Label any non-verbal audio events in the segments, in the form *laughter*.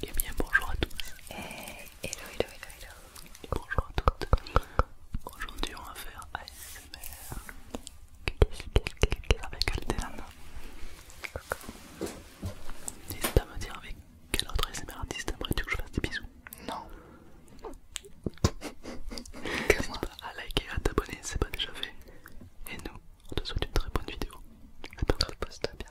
Et eh bien bonjour à tous. Eh, hello, hello, hello, hello. Et bonjour à toutes. Aujourd'hui on va faire ASMR. Avec Aldeana. N'hésite à me dire avec quel autre ASMR artiste aimerais-tu que je fasse des bisous Non. *laughs* N'hésite pas à liker et à t'abonner si c'est pas déjà fait. Et nous, on te souhaite une très bonne vidéo. Attends, poste bien.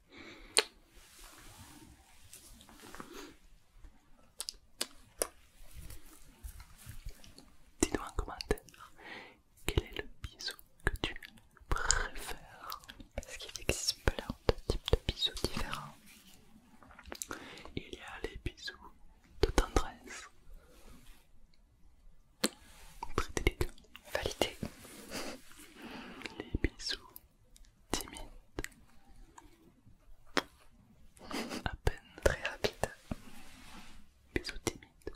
Dis-nous en commentaire quel est le bisou que tu préfères Parce qu'il existe plein de types de bisous différents. Il y a les bisous de tendresse. Très délicat. Validé. Les bisous timide. À peine très rapide. Bisous timide.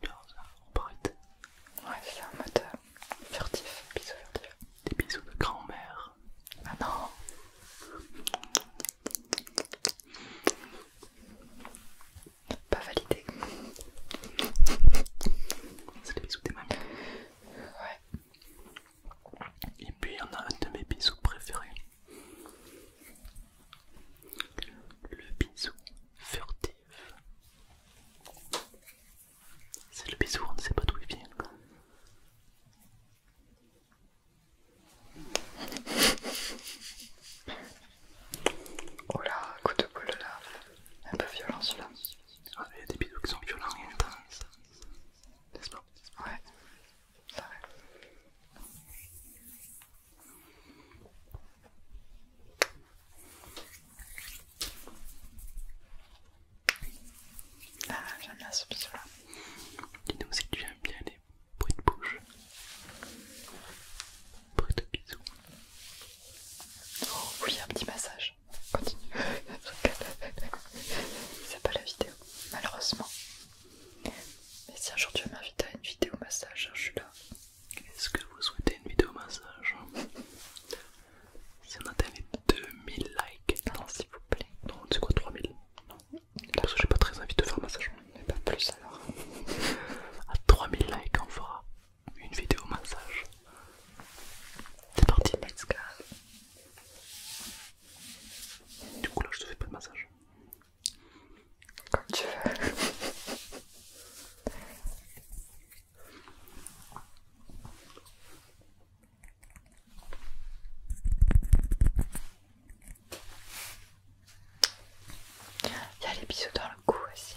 Tu un Ouais, c'est un mode euh, furtif, bisous furtif. Des bisous de grand-mère. Ah non Pas validé. C'est des bisous des mamies. Ouais. Et puis on a un de mes bisous préférés. Le bisou furtif. C'est le bisou, on ne sait pas d'où il vient. Oh là, coup de là, un peu violent celui-là. Ah, il y a des bisous qui sont violents et intenses. N'est-ce pas Ouais, ça va. Ah, j'aime bien ce bisou là. Dis-nous si tu aimes bien les bruits de bouche. bruits de bisous. Oh oui, un petit passage Continue. C'est pas la vidéo, malheureusement. Mais si un jour tu m'inviter à une vidéo massage, je suis là. Est-ce que vous souhaitez une vidéo massage Si on atteint les 2000 likes. Non, s'il vous plaît. Non, c'est quoi 3000 Parce que j'ai pas très envie de faire un massage. Mais pas plus alors. à 3000 likes, on fera une vidéo massage. C'est parti, let's go. Du coup, là, je te fais pas de massage. Comme tu veux. Il y a les bisous dans le cou aussi,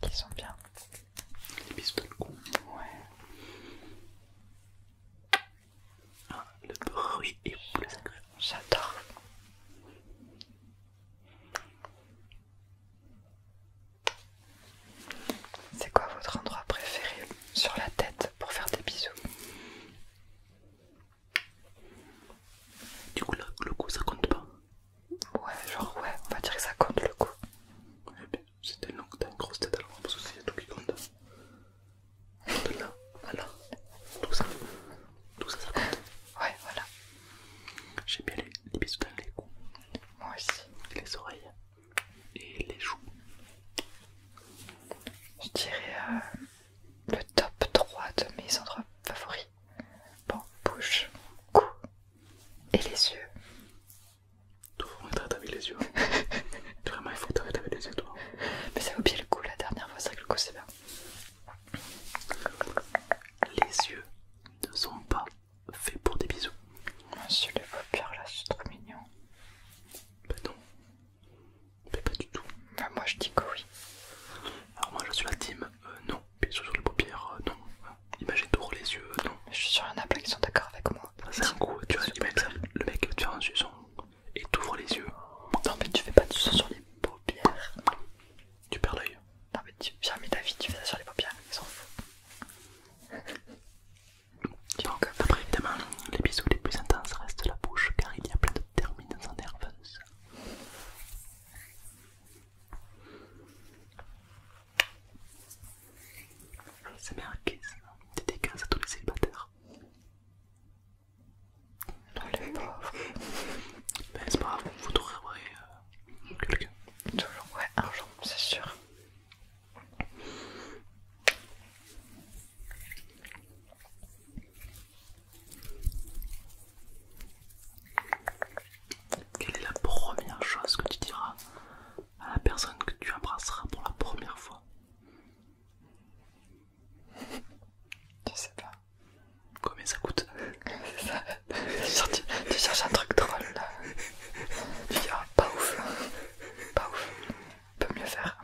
qui sont bien. Les bisous le cou. ouais. Ah, le bruit est plus j'adore. C'est quoi votre endroit préféré sur la tête pour faire des bisous Du coup, le coup ça compte pas Ouais, genre, ouais, on va dire que ça compte le coup. Eh c'était bien, t'as une grosse tête alors, parce que c'est tout qui compte. De tout ça, tout ça, ça compte. Ouais, voilà. J'ai bien les, les bisous dans les coups. Moi aussi. Les oreilles et les joues. Je dirais euh, le top 3 de mes endroits favoris. Bon, bouche, cou, et les yeux. Tout vraiment traite avec les yeux. *laughs* vraiment, il faut t'arrêter avec les yeux, toi. Mais ça oublié le coup la dernière fois, c'est vrai que le coup c'est bien. Les yeux ne sont pas faits pour des bisous. Moi, je les là, c'est trop mignon. Bah non. Mais ben, pas du tout. Bah, moi, je dis que oui. Alors, moi, je suis la team euh, non. bisous sur les paupières, euh, non. Imagine t'ouvres les yeux, euh, non. Je suis sûr qu'il y en a plein qui sont d'accord avec moi. Ah, c'est un coup, tu vois, le mec, tu faire un suçon et t'ouvres les yeux. Non, mais tu fais pas de bisous sur les paupières. Tu perds l'œil. Non, mais tu mis ta vie, tu fais ça sur les paupières, ils sont fous *laughs* Donc, après, évidemment, les bisous les plus intenses restent la bouche car il y a plein de termines nerveuse. C'est merguez, dédicace à tous les célibataires. Non, les pauvres. *laughs* Mais c'est pas grave, vous trouverez euh, quelqu'un. Toujours, ouais, un jour, c'est sûr. Quelle est la première chose que tu diras à la personne que tu embrasseras pour la première fois Tu sais pas. Combien ça coûte Tu, cherches, un truc drôle là. Ah, pas ouf, hein. pas ouf, on peut mieux faire.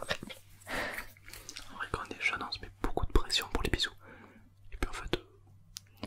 En vrai, quand on est on se met beaucoup de pression pour les bisous. Et puis en fait, euh,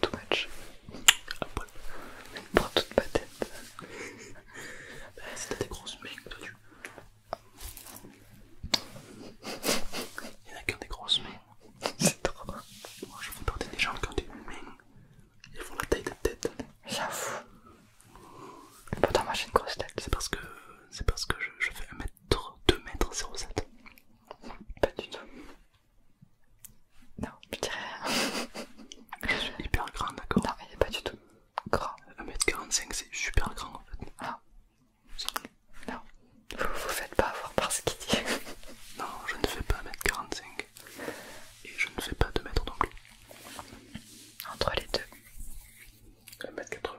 too much. Ah, Paul. Prends toute ma tête. bah, si t'as des grosses mains, toi tu. Il n'y en a des grosses mains. *laughs* C'est trop. Moi je fais porter des gens qui ont des mains. Ils font la taille de tête. J'avoue. Pourtant moi j'ai une grosse tête. C'est parce que c'est parce que je, je fais 1m2m07. Pas du tout. Non, je dirais. je suis hyper grand, d'accord Non, il est pas du tout grand. 1m45, c'est super grand en fait. Ah. Non, vous vous faites pas avoir par ce qu'il dit. *laughs* non, je ne fais pas 1m45 et je ne fais pas 2m non plus. Entre les deux. 1m80.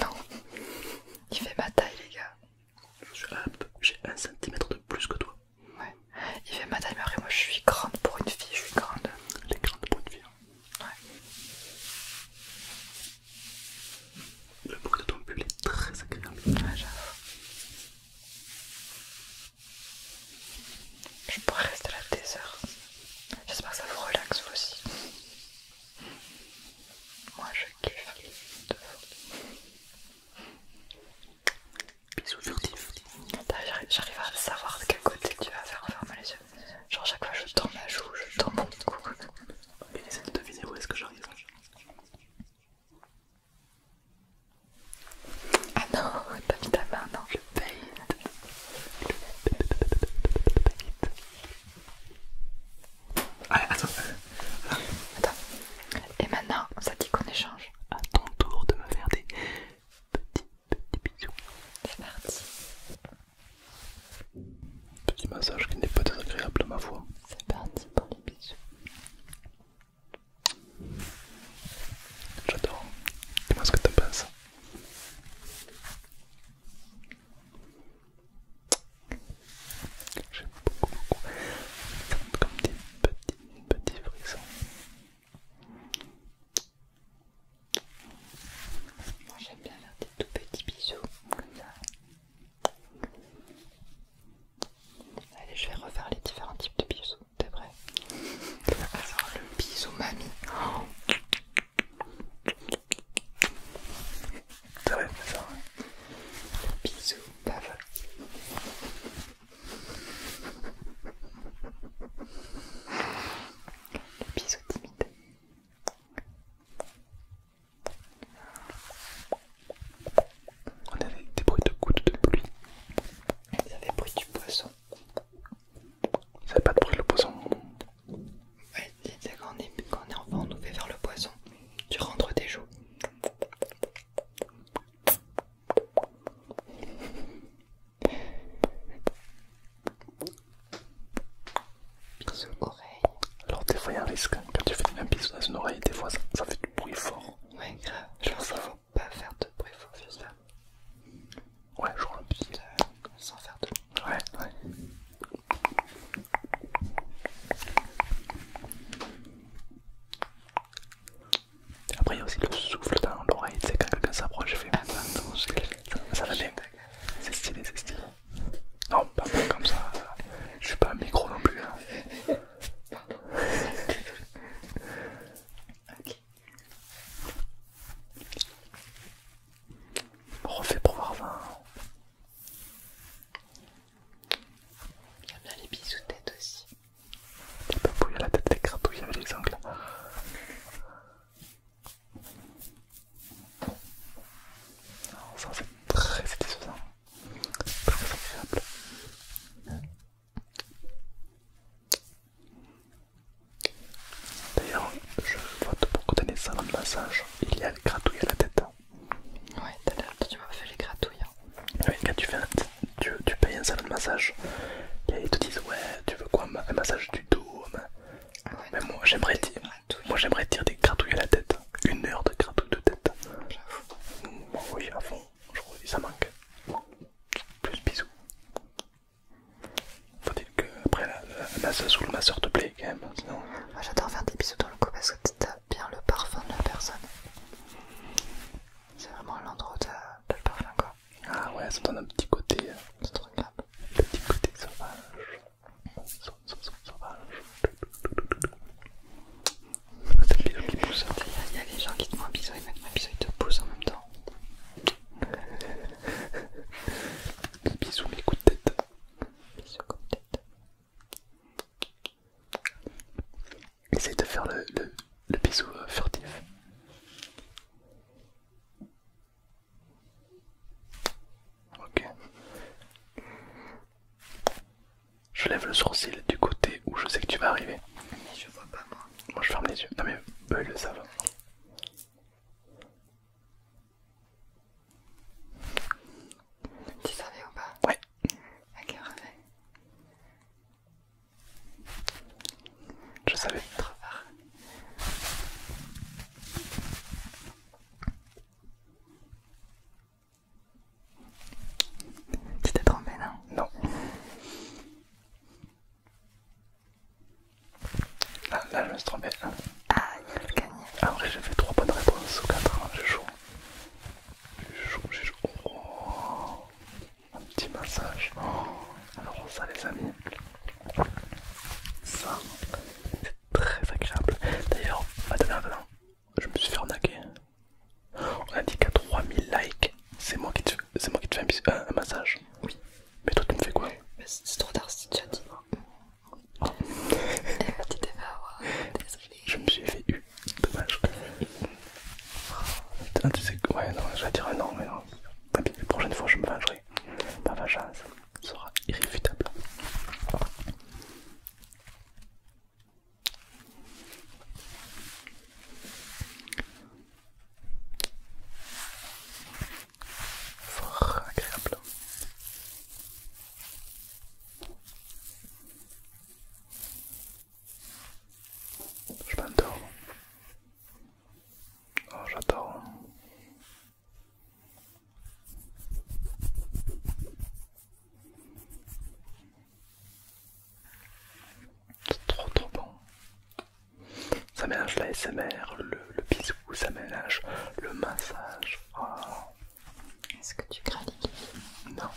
Non, il fait ma taille, les gars. J'ai un centimètre de plus que toi. Ouais. Il fait ma et moi je suis grande pour une fille, je suis grande. Elle est grande pour une fille. Hein. Ouais. Le bruit de ton pull est très agréable. Je pourrais rester là des heures. J'espère que ça vous relaxe vous aussi. Moi je kiffe de fois Bisous furtifs. J'arrive à savoir de quel côté tu vas faire fermer les yeux. Genre, chaque fois, je tends ma joue, je tends mon cou. Ok, de deviner où est-ce que j'arrive. Ah non, t'as mis ta main, non, le paye. Allez, ah, attends. Et maintenant, ça dit qu'on échange. À ton tour de me faire des petits petits bisous. C'est parti. Petit massage qui n'est pas désagréable à ma foi. C'est parti pour les bisous. J'adore. Dis-moi ce que t'en penses. J'aime beaucoup, beaucoup. comme des petits, petits frissons. Moi j'aime bien faire des tout petits bisous comme ça. Allez, je vais refaire les différents types de bisous, t'es prêt Alors le bisou mamie. C'est vrai, ça, Le bisou peuvent. Le bisous timide. On avait des bruits de gouttes de pluie. avait des bruits du poisson. Ça avait pas de bruit le poisson. Ouais, quand on, est, quand on est enfant, on nous fait faire le poisson. Tu rentres des joues. Alors des fois il y a un risque, quand tu fais une bisou dans une oreille, des fois ça, fait du bruit fort. Ouais grave, Genre, ça ne faut pas faire de bruit fort juste ça. Ouais, je vois le petit. sans faire de bruit. Ouais, ouais. Après, il y a aussi le souffle dans l'oreille, c'est quand quelqu'un s'approche, ah, je fais attends, ça, ça va bien. C'est stylé, c'est stylé. Non, pas comme ça, je suis pas un micro non plus. Hein. Refait pour voir 20. Il y a bien les bisous de tête aussi. il papouilles à la tête, les gratouillait avec les ongles. ça c'est très satisfaisant, très agréable. D'ailleurs, je vois pour beaucoup d'années dans de massage, il y a les gratouilles à la tête. Ouais, t'as l'air, tu m'as fait les gratouilles. quand hein. tu, fais tu, tu payes un salon de massage, et ils te disent Ouais, tu veux quoi Un massage du dos ah mais... moi j'aimerais dire, moi j'aimerais dire des gratouilles à la tête, une heure de gratouilles de tête. J'avoue. oui, à fond, je ça manque. Plus bisous. Faut-il que après la, la, masseuse ou le masseur te plaît quand même, ah, j'adore faire des bisous dans le cou parce que bien le parfum de la personne. C'est vraiment l'endroit où t'as le parfum quoi. Ah ouais, ça donne un petit côté. Euh, C'est trop Le petit côté sauvage. sauvage sauvage. Il y, a des hein. gens qui te font un bisou, et mettent un bisou, et te poussent en même temps. *laughs* Bisous mes coups de tête. Bisous coups de tête. Essaye de faire le, le, le bisou euh, furtif. Ok. Je lève le sourcil du côté où je sais que tu vas arriver. je vois pas moi. Moi je ferme les yeux. Non mais eux le savent. Tu savais ou pas Ouais. Ok, refais. Je savais. Trop Tu t'es trompé, non Non. Ah, là, je me suis trompé. Ah, il a gagné. Après, j'ai fait 3 bonnes réponses ou 4, hein, je joue un petit massage. alors ça les amis, ça c'est très agréable. D'ailleurs, attends, je me suis fait arnaquer. On a dit qu'à 3000 likes, c'est moi qui te, fais un, massage. Oui. Mais toi tu me fais quoi C'est trop tard c'est tu as dit. Oh. Eh, tu t'es je me suis fait eu, dommage. tu de que. Ouais, non, je vais dire non, mais non. la prochaine fois je me vengerai. Ma vengeance sera irréfutable. Fort agréable. Je m'endors. Oh, j'adore. C'est trop trop bon. Ça mélange la SMR, le, le bisou, ça mélange le massage. Ah. Est-ce que tu crains Non.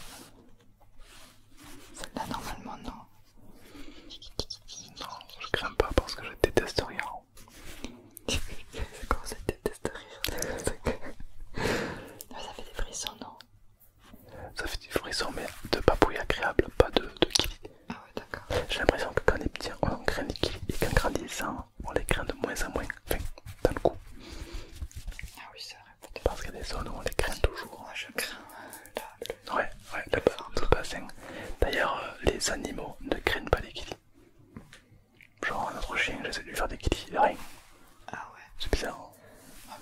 Celle-là, normalement, non. Non, je crains pas parce que je déteste rien. *laughs* C'est quand ça, détester rien? ça fait des frissons, non Ça fait des frissons, mais de papouille agréable, pas de, de Ah ouais, d'accord. J'ai l'impression que quand on est petit, on craint les kili et qu'en grandissant, on les craint de moins en moins. Enfin, dans le coup. Ah oui, ça parce qu'il y a des zones où on les craint toujours. Moi je crains euh, là, le... Ouais, ouais, le, Tout D'ailleurs, euh, les animaux ne craignent pas les kilis. Genre, notre chien, j'essaie de lui faire des kilis, rien. Ah ouais C'est bizarre.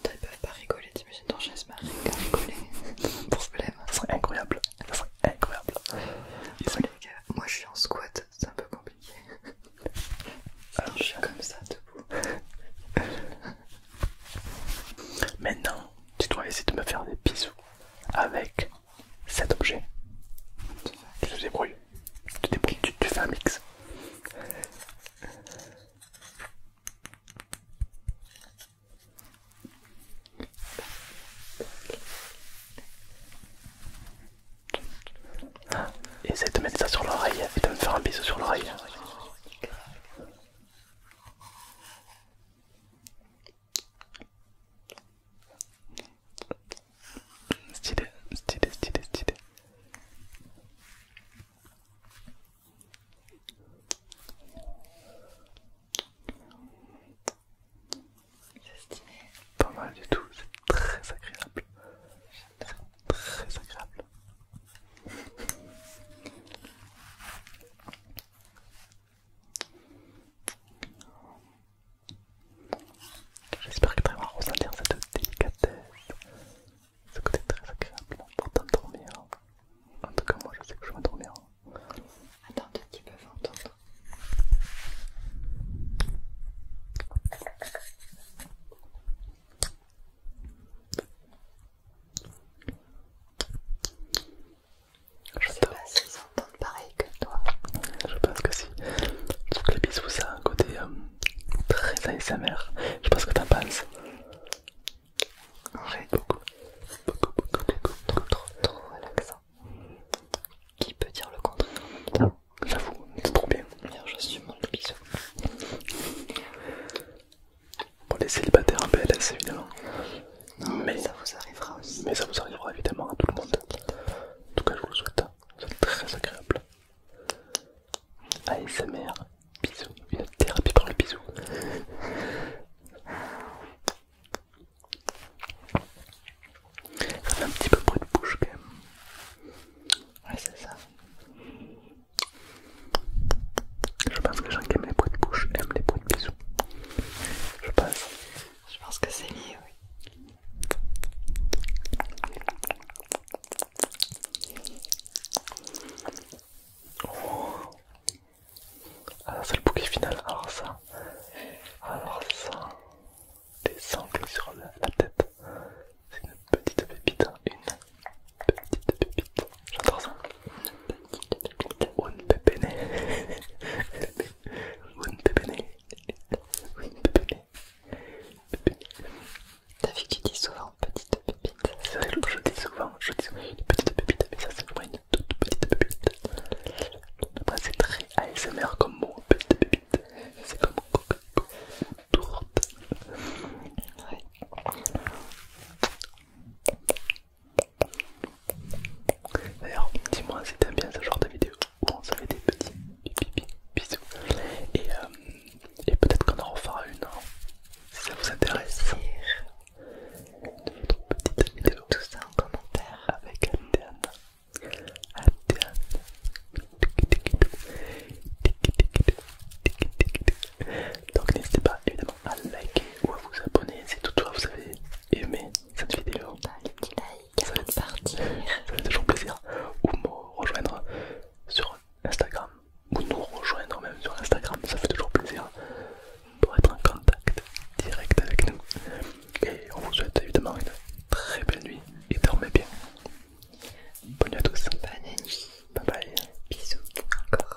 ils peuvent pas rigoler, t'imagines ton chien se rien à rigoler. *laughs* Problème. Ça serait incroyable. Ça serait incroyable. les gars, moi je suis en squat, c'est un peu compliqué. Alors, ah, je suis comme ça debout. *laughs* Maintenant, tu dois essayer de me faire des bisous avec cet objet. Tu te débrouilles. Tu te débrouilles, tu fais un mix. Essaye de mettre ça sur l'oreille et de me faire un bisou sur l'oreille. Stylé, stylé, stylé, stylé. C'est stylé. Pas mal du tout, c'est très agréable. J'adore très agréable. J'espère que tu vas ressentir cette délicatesse, ce côté très agréable pour t'endormir. En tout cas, moi je sais que je vais dormir Attends un petit peu, entendre. Je sais pas s'ils si entendent pareil que toi. Je pense que si. trouve que les bisous, ça un côté euh, très ASMR. Je pense que t'en penses. En Trop, Qui peut dire le contraire J'avoue, c'est trop bien. je j'assume mon bisou. Pour les célibataires en PLS, évidemment. mais ça vous arrivera aussi. Mais ça vous arrivera évidemment à tout le monde. En tout cas, je vous le souhaite. C'est très agréable. ASMR, bisous, une thérapie par le bisou. Ça fait un petit peu bruit de bouche quand même. Ouais, c'est ça. Je pense que les gens qui aiment les bruits de bouche aiment les bruits de bisous. Je pense. Je pense que c'est mieux, oui. Ah, c'est le bouquet final. Alors, ah, ça, alors ah, ça, des sangles sur la tête. C'est hein, une petite pépite, une petite pépite. J'entends ça. Une petite pépéné. Une pépéné. Une pépéné. T'as vu que tu dis souvent petite pépite C'est vrai je dis souvent, je dis souvent une petite pépite, mais ça c'est vraiment une toute petite pépite. c'est très ASMR comme mot, petite pépite. C'est comme coca D'ailleurs, dis-moi si t'aimes bien ce genre de vidéo où on se fait des petits bisous. Euh, et, peut-être qu'on en refera une hein, si ça vous intéresse. de votre petite vidéo. Tout ça en commentaire. Avec Altéane. Donc n'hésitez pas évidemment à liker ou à vous abonner si toutefois vous avez aimé cette vidéo. ça fait *laughs* toujours plaisir. Ou me rejoindre sur Instagram. Ou nous rejoindre même sur Instagram. Ça fait toujours plaisir pour être en contact direct avec nous. Et on vous souhaite évidemment une très belle nuit et dormez bien. Bonne nuit à tous. Bonne nuit. Bye bye. Bisous. Encore.